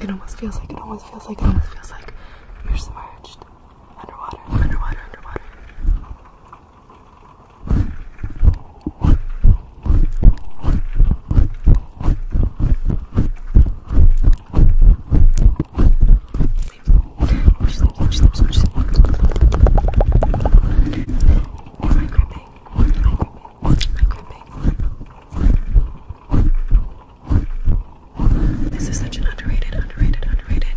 It almost feels like, it almost feels like, it almost feels like you're submerged underwater, underwater, underwater. Sleep, sleep, sleep, sleep, sleep, sleep, this is such an underrated, underrated, underrated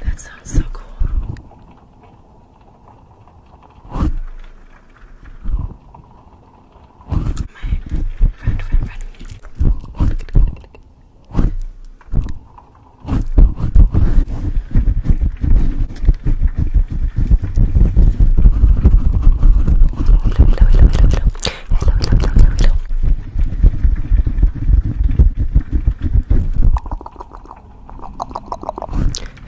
That sounds so cool. friend, friend, friend. Hello, hello, hello, hello, hello. Hello, hello, hello, hello, hello.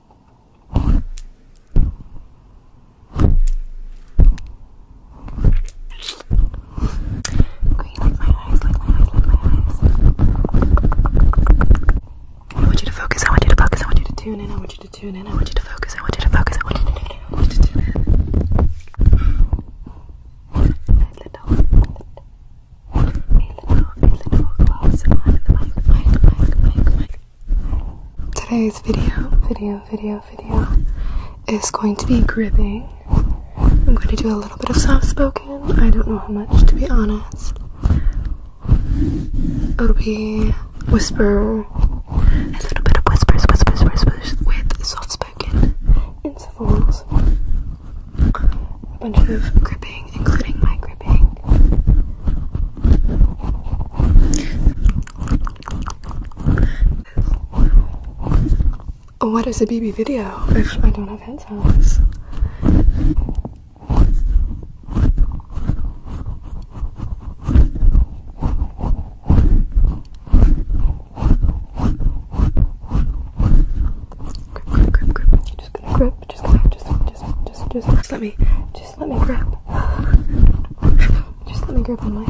Green, like my eyes, like my eyes, like my eyes. I want you to focus, I want you to focus, I want you to tune in, I want you to tune in, I want you to focus, I want you to focus, I want you to tune in, I want you to tune in. A little, a little, a little close on the mic, mic, mic, mic, mic. Today's video, video, video, video is going to be gripping. I'm going to do a little bit of soft spoken. I don't know how much, to be honest. It'll be whisper, a little bit of whispers, whispers, whispers with soft spoken intervals, a bunch of gripping. Oh, what is a BB video if I don't have headphones? Grip, grip, Just gonna grip, just gonna, just, just. Let me just let me grab. Just let me grab my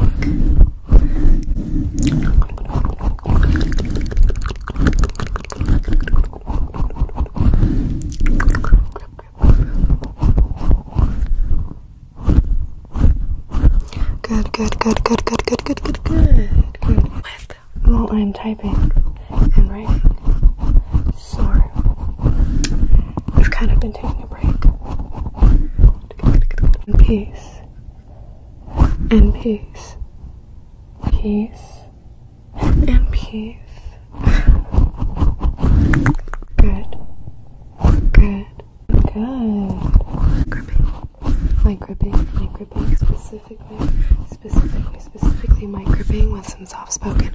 Good, good, good, good, good, good, good, good, good. while I'm typing and writing, sorry. I've kind of been taking a break. And peace. And peace. Peace. And peace. Good. Good. Good. Gripping. My gripping. My gripping. Specifically. Specifically. Specifically my gripping was and soft spoken.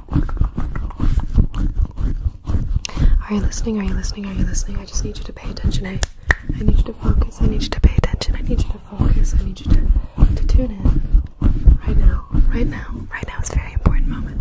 Are you listening? Are you listening? Are you listening? I just need you to pay attention. I, need you to focus. I need you to pay attention. I need you to focus. I need you to, to tune in. Right now. Right now. Right now is a very important moment.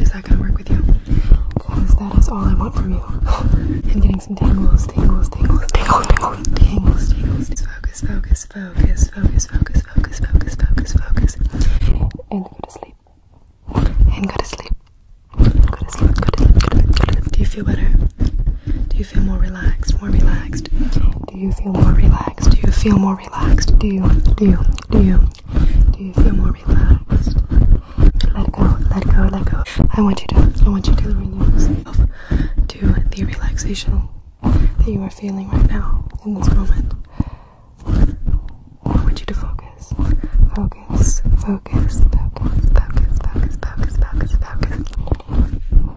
Is that gonna work with you? Because that is all I want from you. I'm getting some tingles, tingles, tingles, tingles, tingles, tingles, tingles. Focus, focus, focus, focus, focus, focus, focus, focus, focus. And go to sleep. And go to sleep. Go to sleep, go to sleep, go to sleep. Do you feel better? Do you feel more relaxed? More relaxed? Do you feel more relaxed? Do you feel more more relaxed? Do you? Do you? Do you? Do you feel more relaxed? Let go, let go, let go. I want you to, I want you to renew yourself to the relaxation that you are feeling right now in this moment. I want you to focus, focus, focus, focus, focus, focus, focus, focus, focus.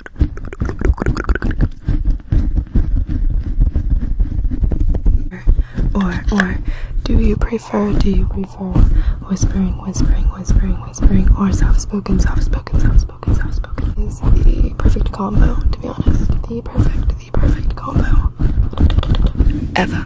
or, or, do you prefer, do you prefer whispering, whispering, whispering, whispering, or soft spoken, soft spoken, soft spoken, soft spoken? Is the perfect combo, to be honest. The perfect, the perfect combo ever.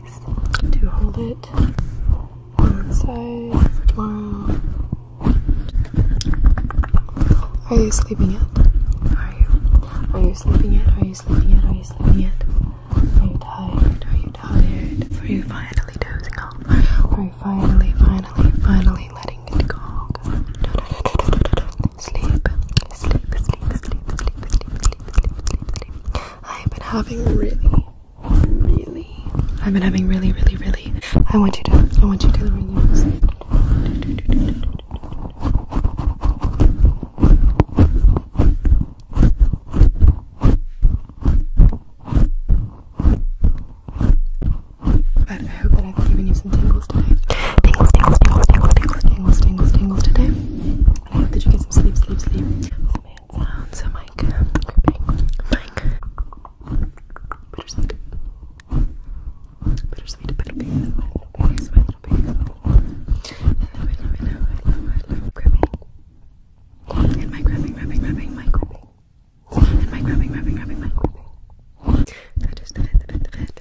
least to hold it one side Are you sleeping yet? Are you? Are you sleeping yet? Are you sleeping yet? Are you sleeping yet? Are you tired? Are you tired? Are you finally dozing off? Are you finally, finally, finally letting it go? sleep, sleep, sleep, sleep, sleep, sleep, I've been having really, really. I've been having really, really, really. I want you to. I want you to relax. But I hope that I've given you some tingles today. Tingles, tingles, tingles, tingles, tingles, tingles, tingles, tingles today. Did you get some sleep, sleep, sleep? Oh, man, sounds. Mike. Mike. Bittersweet. Bittersweet. Bittersweet. Bittersweet. Hello, hello, hello, hello, hello. Grabbing. And my grabbing, grabbing, grabbing, my And my grabbing, grabbing, grabbing, my grabbing. just did it, did it, did it.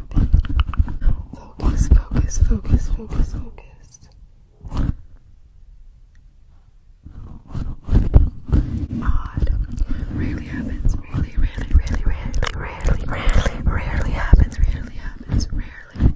Focus, focus, focus, focus, focus. Odd. Rarely happens. Rarely, rarely, rarely, rarely, rarely, rarely, rarely Rarely happens. rarely happens. Rarely,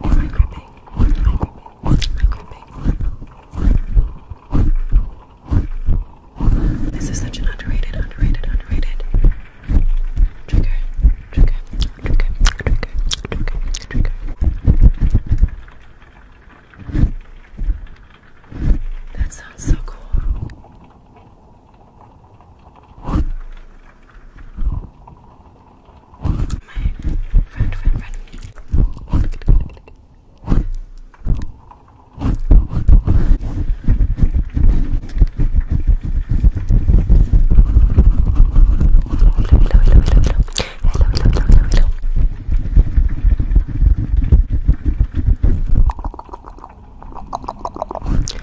my gripping? My gripping? My This is such an underrated, underrated, underrated trigger, trigger, trigger, trigger, trigger, trigger. That sounds so cool. friend, friend, friend. Hello, hello, hello, hello. Hello, hello, hello, hello, hello.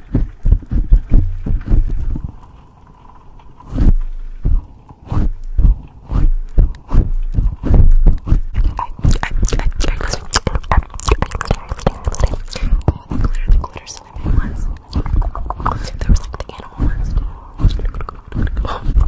Oh, the glitter, the glitter swimming ones. There was like the animal ones too. I love it though.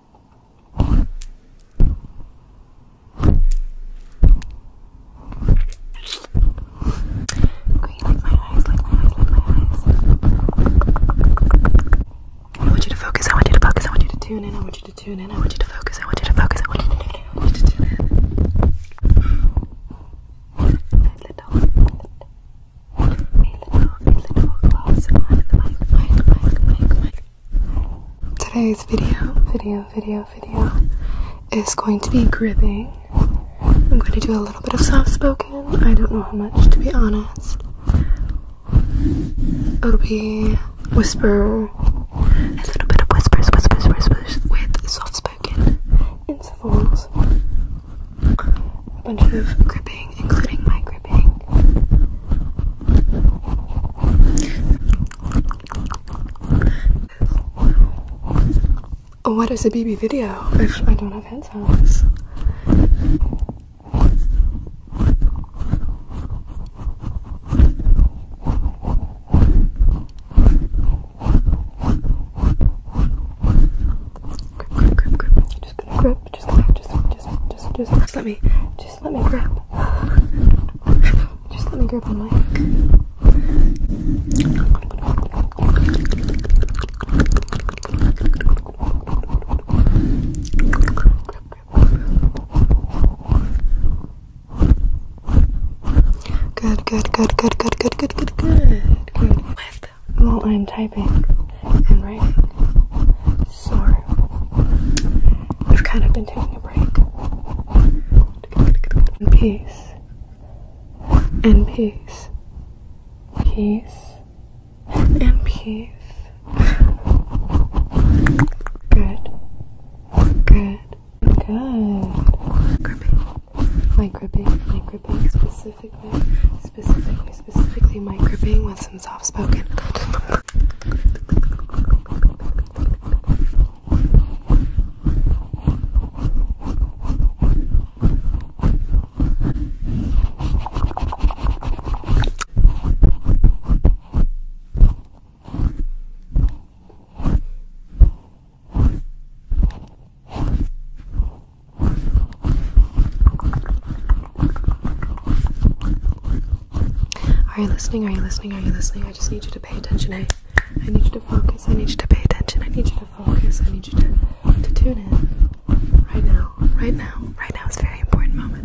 Green, like my eyes, like my eyes, like my eyes. I want you to focus, I want you to focus, I want you to tune in, I want you to tune in, I want you to focus, I want you to focus, I want you to tune in, I want you to tune in. A little, a little, a little gloss on the mic, mic, mic, mic, mic. Today's video, video, video, video is going to be gripping. I'm going to do a little bit of soft spoken. I don't know how much, to be honest. It'll be whisper, a little bit of whispers, whispers, whispers with soft spoken intervals. A bunch of gripping, including my grip. Oh, what is a BB video I don't have headphones? Just gonna grip, just gonna, just just, just, just, let me, just let me grab. Just let me grab my. Good, good, good, good, good, good, good, good, good. Good. while I'm typing Sorry. I've kind of been taking a break. And peace. And peace. Peace. And peace. Good. Good. Good. Gripping. My gripping. My gripping. Specifically. Specifically. Specifically my gripping was and soft spoken. Are you listening? Are you listening? Are you listening? I just need you to pay attention. I, eh? I need you to focus. I need you to pay attention. I need you to focus. I need you to, to tune in. Right now. Right now. Right now is a very important moment.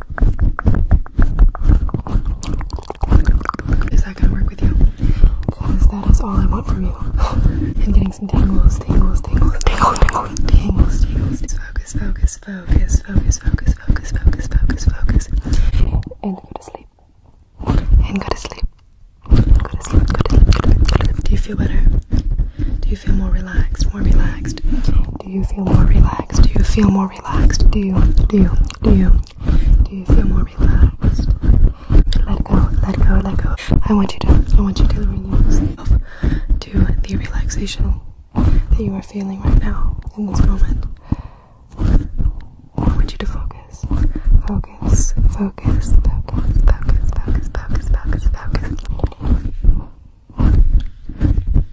Is that gonna work with you? Because that is all I want from you. I'm getting some tingles, tingles, tingles, tingles, tingles, tingles, tingles. Focus, focus, focus, focus, focus, focus, focus, focus, focus. And go to sleep. And go to sleep. Go to sleep, go to sleep, go to sleep. Do you feel better? Do you feel more relaxed? More relaxed? Do you feel more relaxed? Do you feel more relaxed? Do you, do you, do you, do you feel more relaxed? Let go, let go, let go. I want you to, I want you to renew yourself to the relaxation that you are feeling right now in this moment. I want you to focus, focus, focus, focus, focus, focus, focus, focus, focus.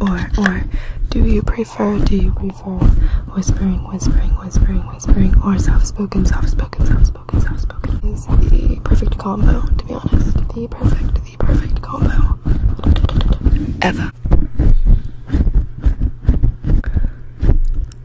Or, or, do you prefer, do you prefer whispering, whispering, whispering, whispering, or soft spoken, soft spoken, soft spoken, soft spoken? Is the perfect combo, to be honest. The perfect, the perfect combo ever.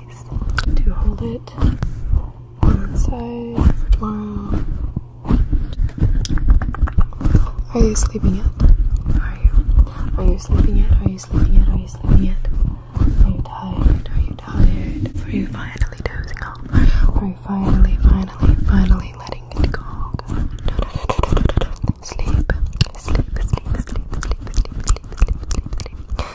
piece to hold it one side Are you sleeping yet? Are you? Are you sleeping yet? Are you sleeping yet? Are you sleeping yet? Are you tired? Are you tired? Are you finally dozing off? Are you finally, finally, finally letting it go? sleep, sleep, sleep, sleep, sleep, sleep, sleep, sleep, sleep.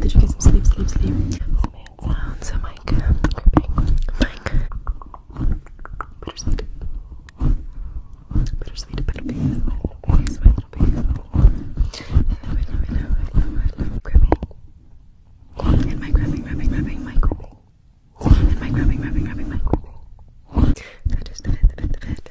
Did you get some sleep, sleep, sleep? Oh man, sounds so Mike. Gripping. Mike. Bittersweet. Bittersweet, little my I love it, love it, love it, love love it. Gripping. And my grabbing, grabbing, grabbing, my And my grabbing, grabbing, grabbing, my gripping. I just did it, did it,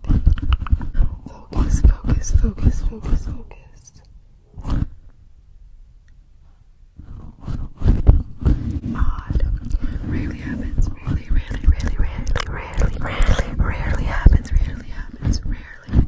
Focus, focus, focus, focus, focus. Odd. Rarely happens. Rarely, rarely, rarely, rarely, rarely, rarely, rarely Rarely happens. Rarely, happens. Rarely,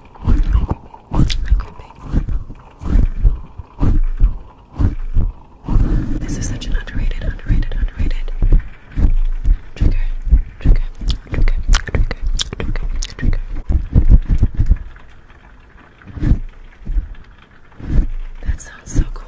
Creeping. This is such an underrated, underrated, underrated trigger, trigger, trigger, trigger, trigger, trigger. That sounds so cool.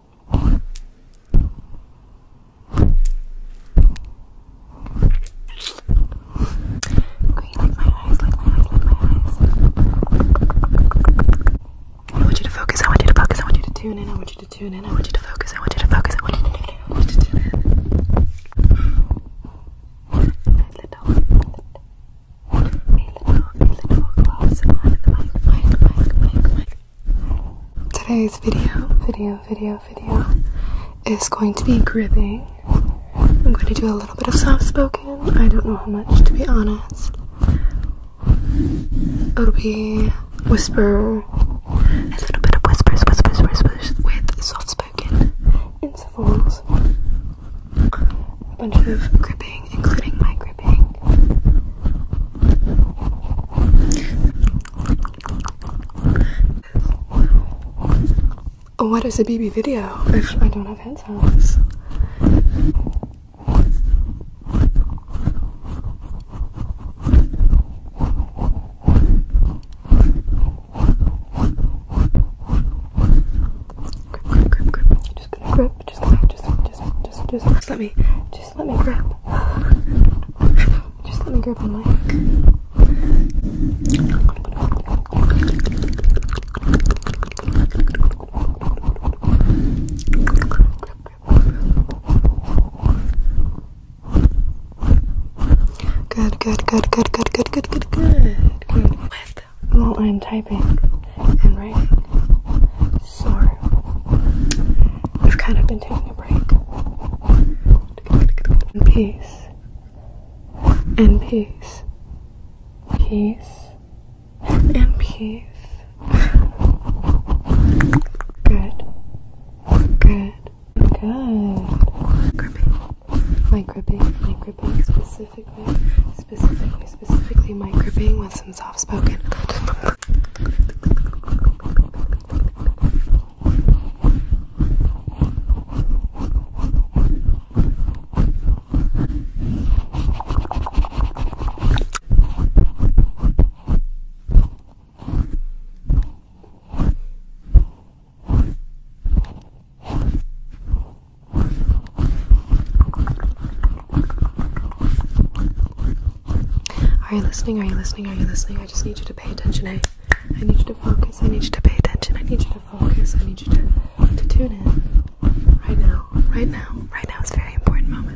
Green, like my eyes, like my eyes, like my eyes. I want you to focus, I want you to focus, I want you to tune in, I want you to tune in, I want you to focus, I want you to focus, I want you to tune in, I want you to tune in. A little, a little, a little gloss on the mic, mic, mic, mic. Today's video, video, video, video is going to be gripping. I'm going to do a little bit of soft spoken. I don't know how much, to be honest. It'll be whisper, a little bit of whispers, whispers, whispers with soft spoken intervals. A bunch of gripping, including my gripping. Oh, what is a BB video if I don't have hands. Grip, grip, Just gonna grip, just let me, just let me grab. Just let me grab the Good, good, good, good, good, good, good, good, good. while I'm typing and writing, Sorry. I've kind of been taking a break. And peace. And peace. Peace. And peace. Good. Good. Good. Gripping. My gripping. Specifically. Specifically. Specifically. My gripping because I'm soft spoken. Are you listening? Are you listening? Are you listening? I just need you to pay attention. Eh? I, need you to focus. I need you to pay attention. I need you to focus. I need you to, to tune in. Right now. Right now. Right now is a very important moment.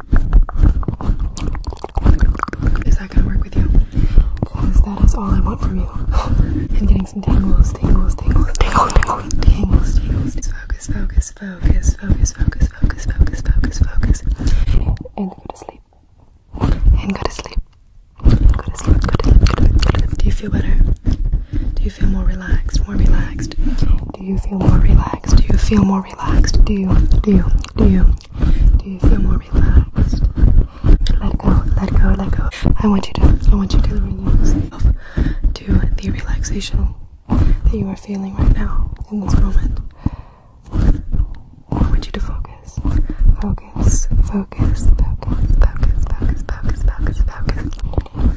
Is that gonna work with you? Because that is all I want from you. I'm getting some tingles, tingles, tingles, tingles, tingles, tingles, tingles. Focus, focus, focus, focus, focus, focus, focus, focus, focus. And go to sleep. And go to sleep. Go to sleep, go to sleep, go to sleep, go to sleep. Do you feel better? Do you feel more relaxed? More relaxed? Do you feel more relaxed? Do you feel more relaxed? Do you? Do you? you? Do you feel more relaxed? Let go, let go, let go. I want you to, I want you to renew yourself to the relaxation that you are feeling right now in this moment. I want you to focus, focus, focus, focus, focus, focus, focus, focus, focus.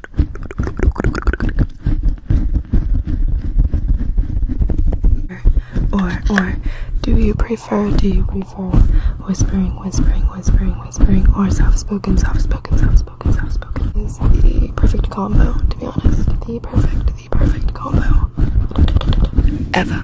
Or, or, do you prefer, do you prefer whispering, whispering, whispering, whispering, or soft spoken, soft spoken, soft spoken, soft spoken? Is the perfect combo, to be honest. The perfect, the perfect combo ever.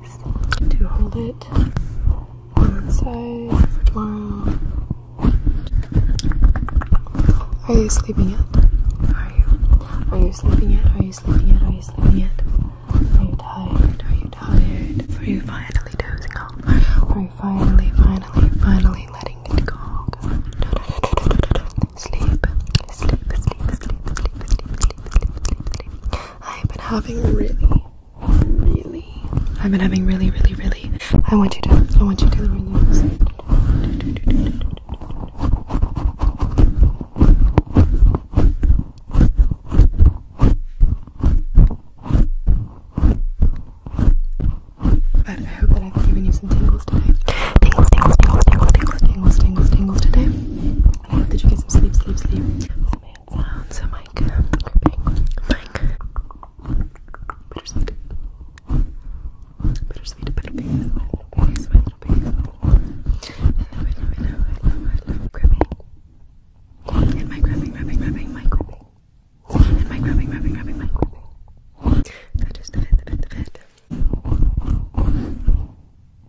piece to hold it One side for Are you sleeping yet? Are you? Are you sleeping yet? Are you sleeping yet? Are you sleeping yet? Are you tired? Are you tired? Are you finally dozing off? Are you finally, finally, finally letting it go? sleep, sleep, sleep, sleep, sleep, sleep, sleep, sleep, sleep. I've been having really, really. I've been having really, really, really. I want you to. I want you to ring this. But I hope that I've given you some tingles today. Tingles, tingles, tingles, tingles, tingles, tingles, tingles, tingles today did you get some sleep, sleep, sleep? Oh man, sounds a mic. Gripping. Bittersweet. Bittersweet, bittersweet. My little babies, my little I love it, I love it, I And my grabbing, grabbing, grabbing, my And my grabbing, grabbing, grabbing, my gripping. just did it, did it, did it.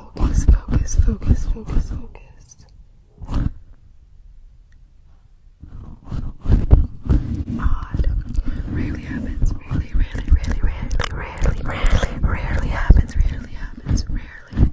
Focus, focus, focus, focus, focus. Odd. Rarely happens. Rarely, rarely, rarely, rarely, rarely, rarely, rarely Rarely happens. rarely happens. Rarely,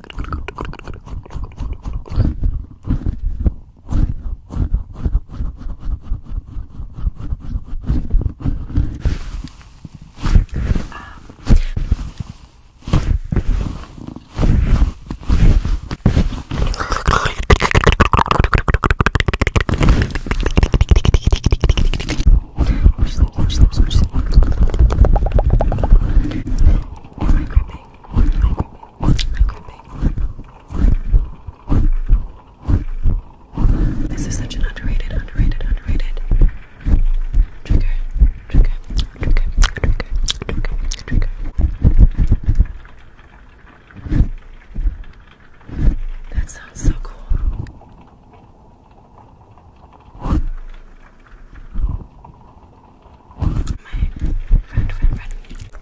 Or oh my thing. This is such an underrated, underrated, underrated trigger, trigger, trigger, trigger, trigger, trigger. That sounds so cool friend, friend, friend.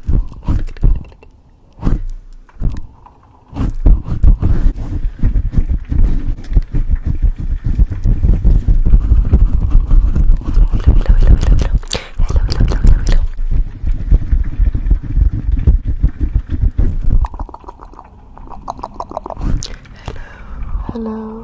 Look at it, look at it. Hello, hello, hello, hello, hello. Hello, hello, hello, hello, hello. Hello. Hello.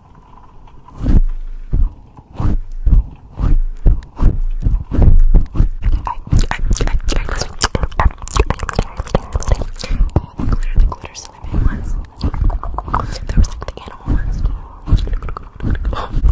glitter, the glitter slipping ones. There was like the animal ones too. I love it though.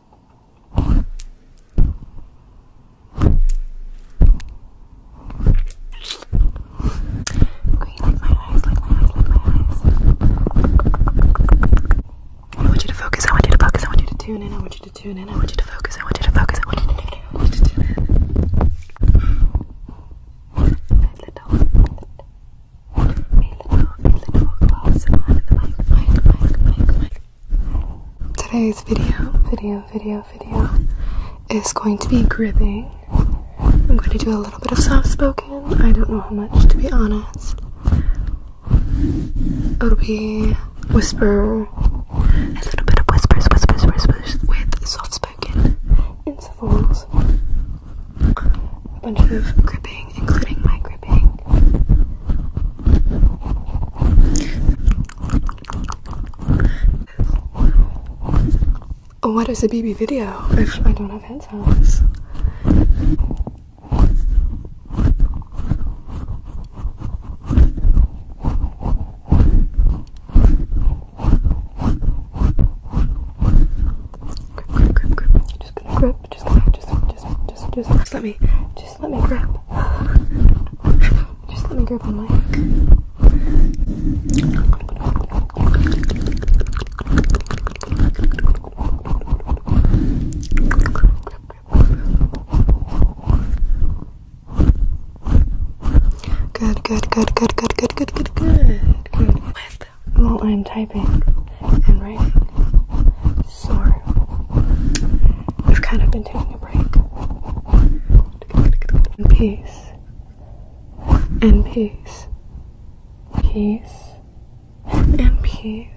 Green, like my eyes, like my eyes, like my eyes. I want you to focus, I want you to focus, I want you to tune in, I want you to tune in, I want you to focus, I want you to focus, I want you to tune in, I want you to tune in. A little, a little, a little close on the mic, mic, mic, mic, mic. Today's video, video, video, video is going to be gripping. I'm going to do a little bit of soft spoken. I don't know how much, to be honest. It'll be whisper, a little bit of whispers, whispers, whispers with soft spoken intervals. A bunch of gripping, including my gripping. Oh, what is a BB video if I don't have hands. Grip, grip, Just gonna grip, just gonna, just, just, just, just, just let me, just let me grab. Just let me grab the mic. Good, good, good, good, good, good, good, good, good. With while I'm typing and writing, so we've kind of been taking a break. And peace. And peace. Peace. And peace.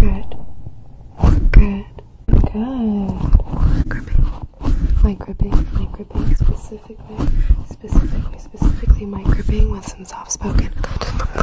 Good. Good. Good. Gripping. My gripping. My gripping specifically. Specifically. Specifically my gripping with some soft spoken.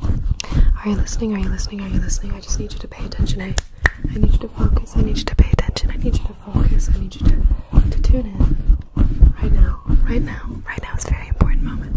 Are you listening? Are you listening? Are you listening? I just need you to pay attention. I, I need you to focus. I need you to pay attention. I need you to focus. I need you to, to tune in. Right now. Right now. Right now is a very important moment.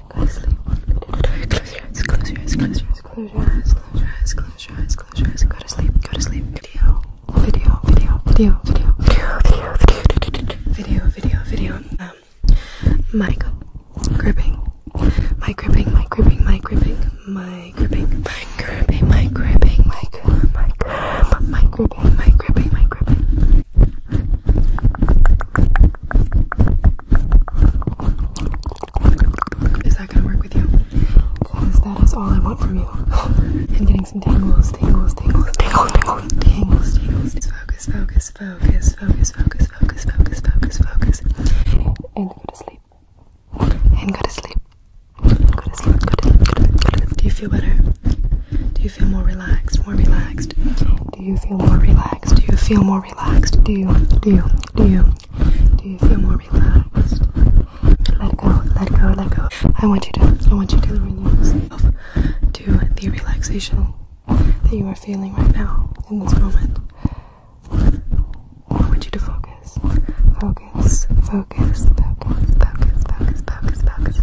go to sleep. Close your eyes, close your eyes, close your eyes, close your eyes, close your eyes, close your eyes, close your eyes, go to sleep, go to sleep. Video, video, video, video, video, video, video, video, video, video. Um, my gripping, my gripping, my gripping, my gripping, my gripping, my gripping, my gripping, my gripping, my gripping, my gripping, my gripping, my gripping. Is that gonna work with you? Because that is all I want from you. I'm getting some tingles, tingles, tingles, tingles, tingles, tingles, tingles. Focus, focus, focus, focus, focus, focus, focus, focus, focus. And go to sleep. And go to sleep. Go to sleep. Go to sleep. Go to sleep. Do you feel better? Do you feel more relaxed? More relaxed? Do you feel more relaxed? Do you feel more relaxed? Do you? Do you? Do you? Do you feel more relaxed? Let go, let go, let go. I want you to, I want you to renew to the relaxation that you are feeling right now in this moment. I want you to focus, focus, focus, focus, focus, focus, focus, focus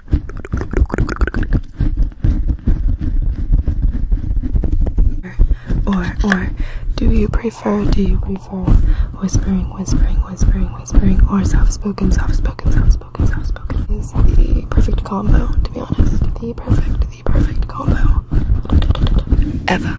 or, or, do you prefer, do you prefer whispering, whispering, whispering, whispering, or soft-spoken, soft-spoken, soft-spoken, soft-spoken? Is the perfect combo, to be honest. The perfect, the perfect combo. Ever.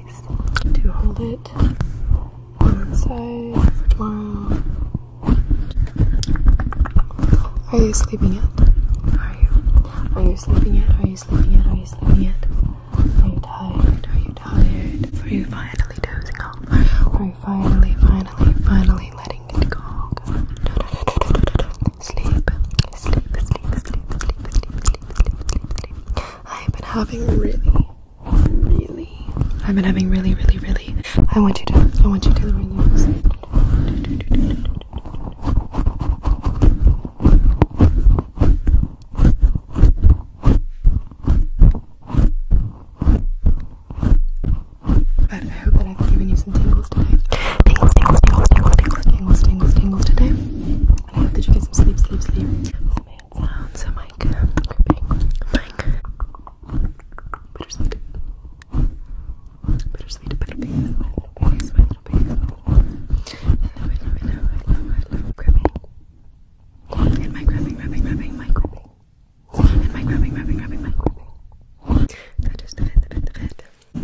piece to hold it one side Are you sleeping yet? Are you? Are you sleeping yet? Are you sleeping yet? Are you sleeping yet? Are you tired? Are you tired? Are you finally dozing off? Are you finally, finally, finally letting it go? sleep, sleep, sleep, sleep, sleep, sleep, sleep, sleep, sleep. I've been having really, really. I've been having really, really, really. I want you to. I want you to relax. But I hope that I've given you some tingles today. Tingles, tingles, tingles, tingles, tingles, tingles, tingles, tingles today. And I hope that you get some sleep, sleep, sleep sounds of like bittersweet, bittersweet, bittersweet, bittersweet, bittersweet. I love it, love it, love it, love it, And my gripping, gripping, gripping, my gripping. And my grabbing, grabbing, grabbing, my grabbing. That is the fit, the fit, the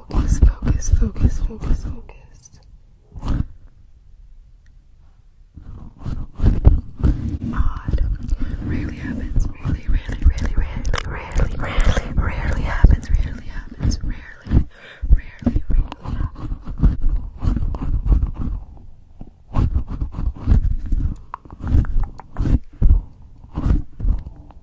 Focus, focus, focus, focus, focus. Odd. Rarely happens. Rarely, rarely, rarely, rarely, rarely, rarely, rarely Rarely happens. rarely happens. Rarely,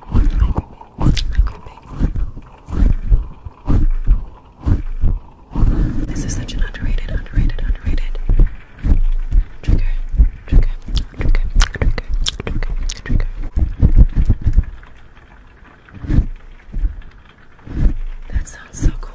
gripping. This is such an underrated, underrated, underrated trigger, trigger, trigger, trigger, trigger, trigger. That sounds so cool.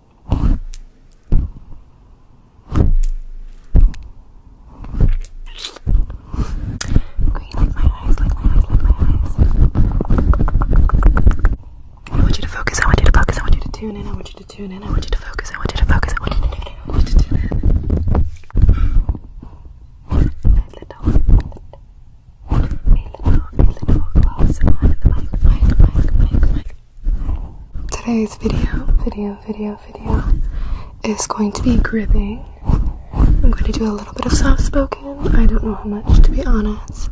Green, like my eyes, like my eyes, like my eyes. I want you to focus, I want you to focus, I want you to tune in, I want you to tune in, I want you to focus, I want you to focus, I want you to tune in, I want you to tune in. A little, a little, a little close on the mic, mic, mic, mic, mic. Today's video, video, video, video is going to be gripping. I'm going to do a little bit of soft spoken. I don't know how much, to be honest.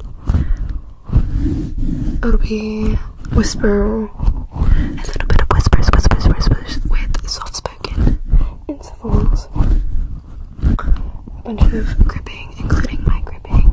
It'll be whisper, a little bit of whispers, whispers, whispers with soft spoken intervals. A bunch of gripping, including my gripping.